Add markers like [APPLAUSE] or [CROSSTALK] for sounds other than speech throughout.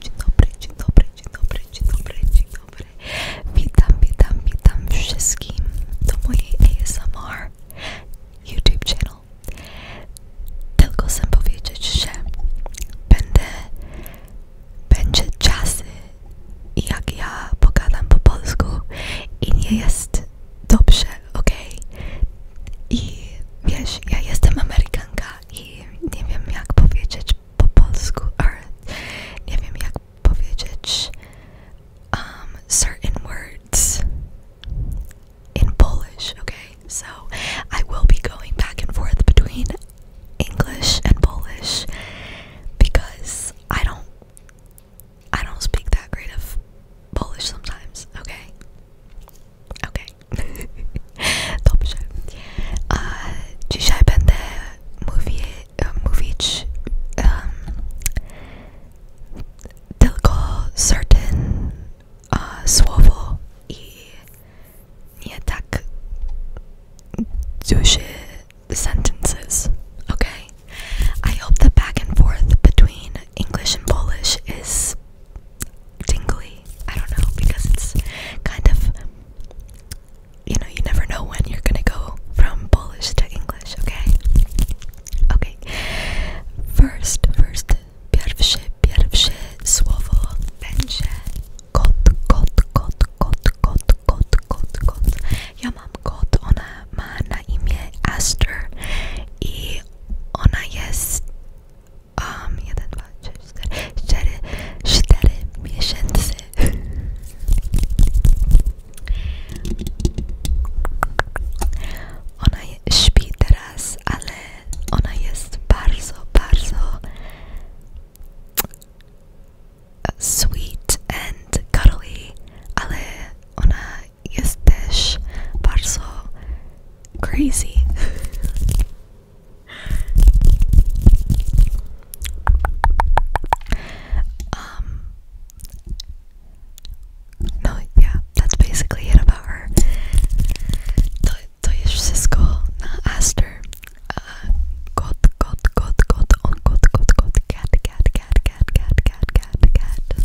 Dzień dobry, dzień dobry, dzień dobry, dzień dobry, Witam, witam, witam wszystkim do mojej ASMR YouTube channel. Tylko chcę powiedzieć, że będę, będzie czasy, jak ja pogadam po polsku i nie jest dobrze, ok? I wiesz, ja jestem Amerykanka i nie wiem jak powiedzieć po polsku, um, certain words in Polish, okay? So I will be going back and forth between English and Polish because I don't I don't speak that great of Polish sometimes, okay? Okay. Top show. A, dzisiaj będę mówić, mówić um, tylko certain uh, słowo i nie tak duże sentences. Okay. I hope the back and forth between English and Polish is tingly. I don't know because it's kind of you know, you never know when you're gonna go from Polish to English, okay? Okay. First, first, pierwsze, pierwsze słowo będzie kot, kot, kot, kot, kot, kot, kot, kot. Ja mam kot, ona ma na imię Aster i ona jest um, 1, 2, 3, 4, 4, 4 miesięcy ona jest śpi teraz, ale ona jest bardzo, bardzo sweet and cuddly ale ona jest też bardzo crazy. um No, yeah, that's basically it about her. To je wszystko na Aster. Uh, got got got got on got got got cat cat cat cat cat cat cat cat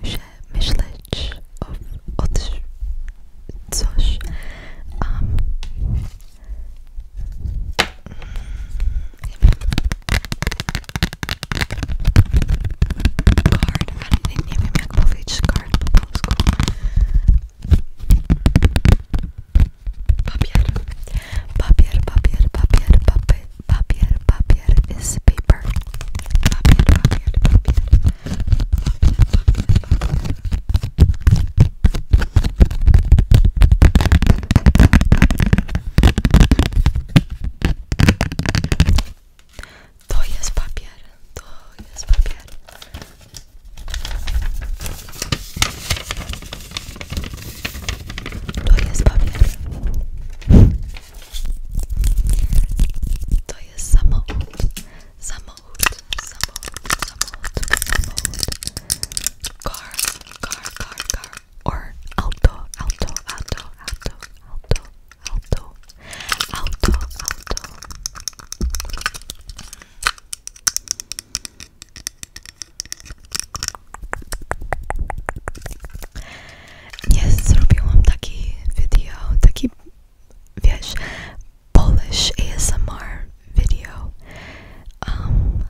muszę myśleć o, o coś um, Card, ale nie, nie wiem jak po polsku Papier, papier, papier, papier, papier, papier, papier, papier is paper. Papier, papier, papier. Papier, papier, papier. To jest papier, to jest papier. To jest papier. To jest samochód, samochód, samochód, samochód, samochód. Car, car, car, car. Or auto, auto, auto, auto, auto, auto, auto, auto. nie zrobiłam takiego, video, taki wiesz, Polish ASMR video um,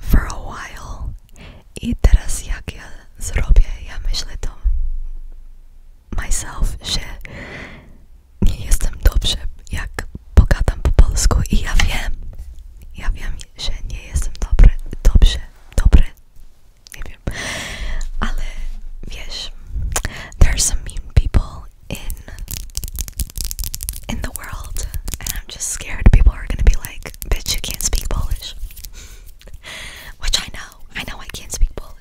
for a while i teraz jak ja zrobię, ja myślę to myself, że nie jestem dobrze jak pogadam po polsku i ja wiem, wiem, że nie jestem dobry, dobrze, dobry ale wiesz, there are some mean people in in the world, and I'm just scared people are gonna be like, bitch, you can't speak Polish, [LAUGHS] which I know, I know I can't speak Polish.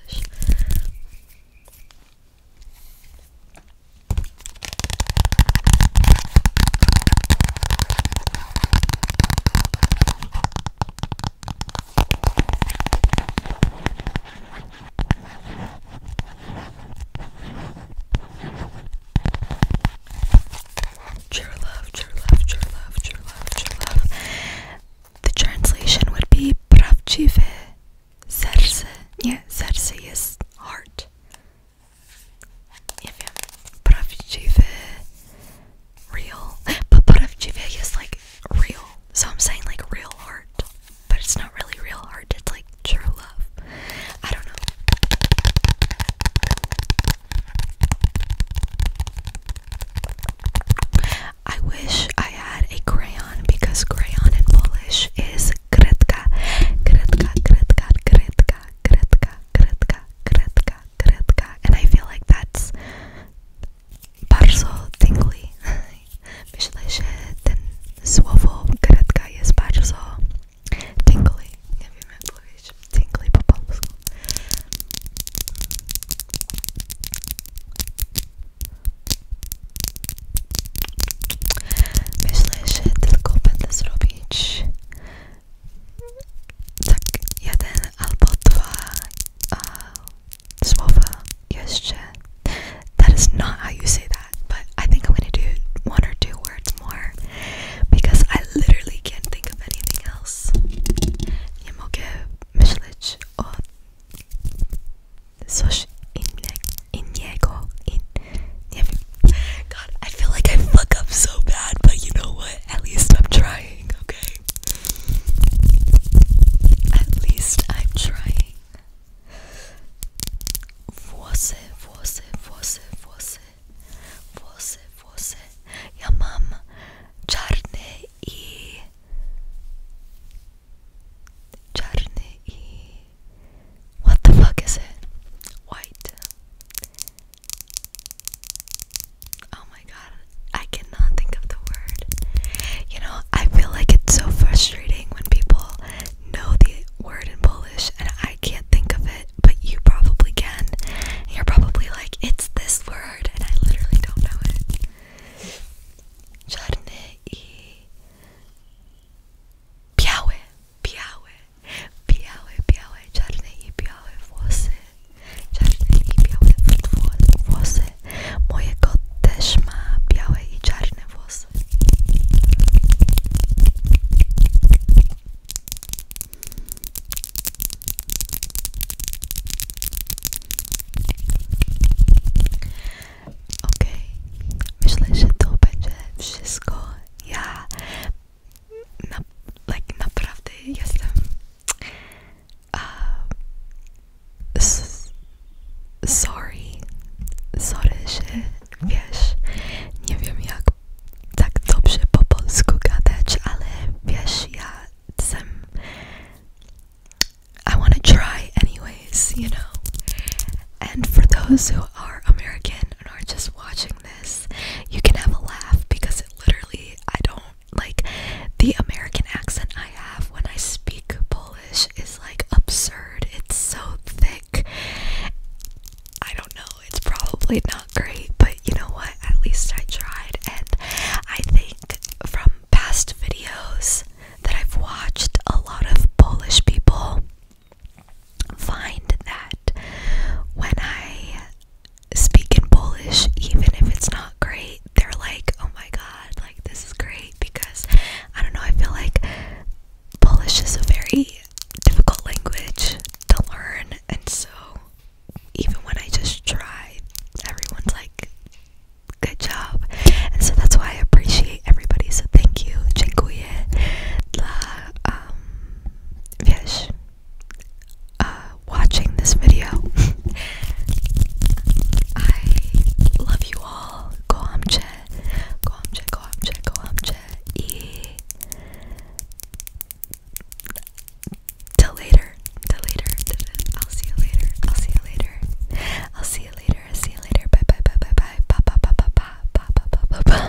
True love, true love, true love, true love, true love. The translation would be Pravčivé serce. Yeah, serce is heart. Yeah, yeah. Pravčivé real. But Paravjivya is like real. So I'm saying like real art. But it's not really real art, it's like true love. I don't know. I wish I had a crayon because crayon in Polish is kretka. Kretka, kretka, kretka, kretka, kretka, kretka, Kretka. And I feel like that's bardzo tingly. Myślę, że ten słowo Kretka jest bardzo tingly. Nie wiem jak powiedzieć tingly po polsku. Myślę, że tylko będę zrobić tak jeden albo dwa słowa jeszcze. That is not how you say that, but I think I'm gonna do one or two words more because I literally can't think of anything else. Nie mogę myśleć o coś innego, in, nie I feel like I fuck up so bad, but you know what? At least I'm trying, okay? At least I'm trying. Você, você, você, você. Você, você. Ja mam czarny what the fuck is it? White. Oh my god, I cannot think of the word. You know, I feel like it's so frustrating when people know the word in Polish and I can't think of it, but you probably can. you're probably like, it's this word, and I literally don't know it. Czarny i białe, białe, białe, czarne i białe włosy. Czarne i białe włosy. Moje kot też ma białe i czarne włosy. Ok, okay. myślę, że to będzie wszystko. Ja na, like naprawdę jestem uh, sorry, sorry, że wiesz, nie wiem jak tak dobrze po polsku gadać, ale wiesz, ja sam I want to try anyways, you know. And for those who are American and are just watching you can have a laugh because it literally, I don't like the American accent I have when I speak Polish is like absurd. It's so thick. I don't know, it's probably not great, but you know what? At least I tried, and I think from past videos that I've watched, a lot of Polish people find that when I speak in Polish, even if it's not great, they're like, oh my god, like this is great because I don't know, I feel like Polish is a very difficult language to learn, and so even when I just try, everyone's like, good job. And so that's why I appreciate everybody. So thank you, dziękuję dla um, wiesz, uh, watching this video. [LAUGHS] I love you all. Kocham cię, kocham cię, kocham cię, kocham cię. I till later, till later. I'll see you later. I'll see you later. I'll see you later. see you later. Bye bye bye bye bye. Bye bye bye bye bye. Bye bye bye bye.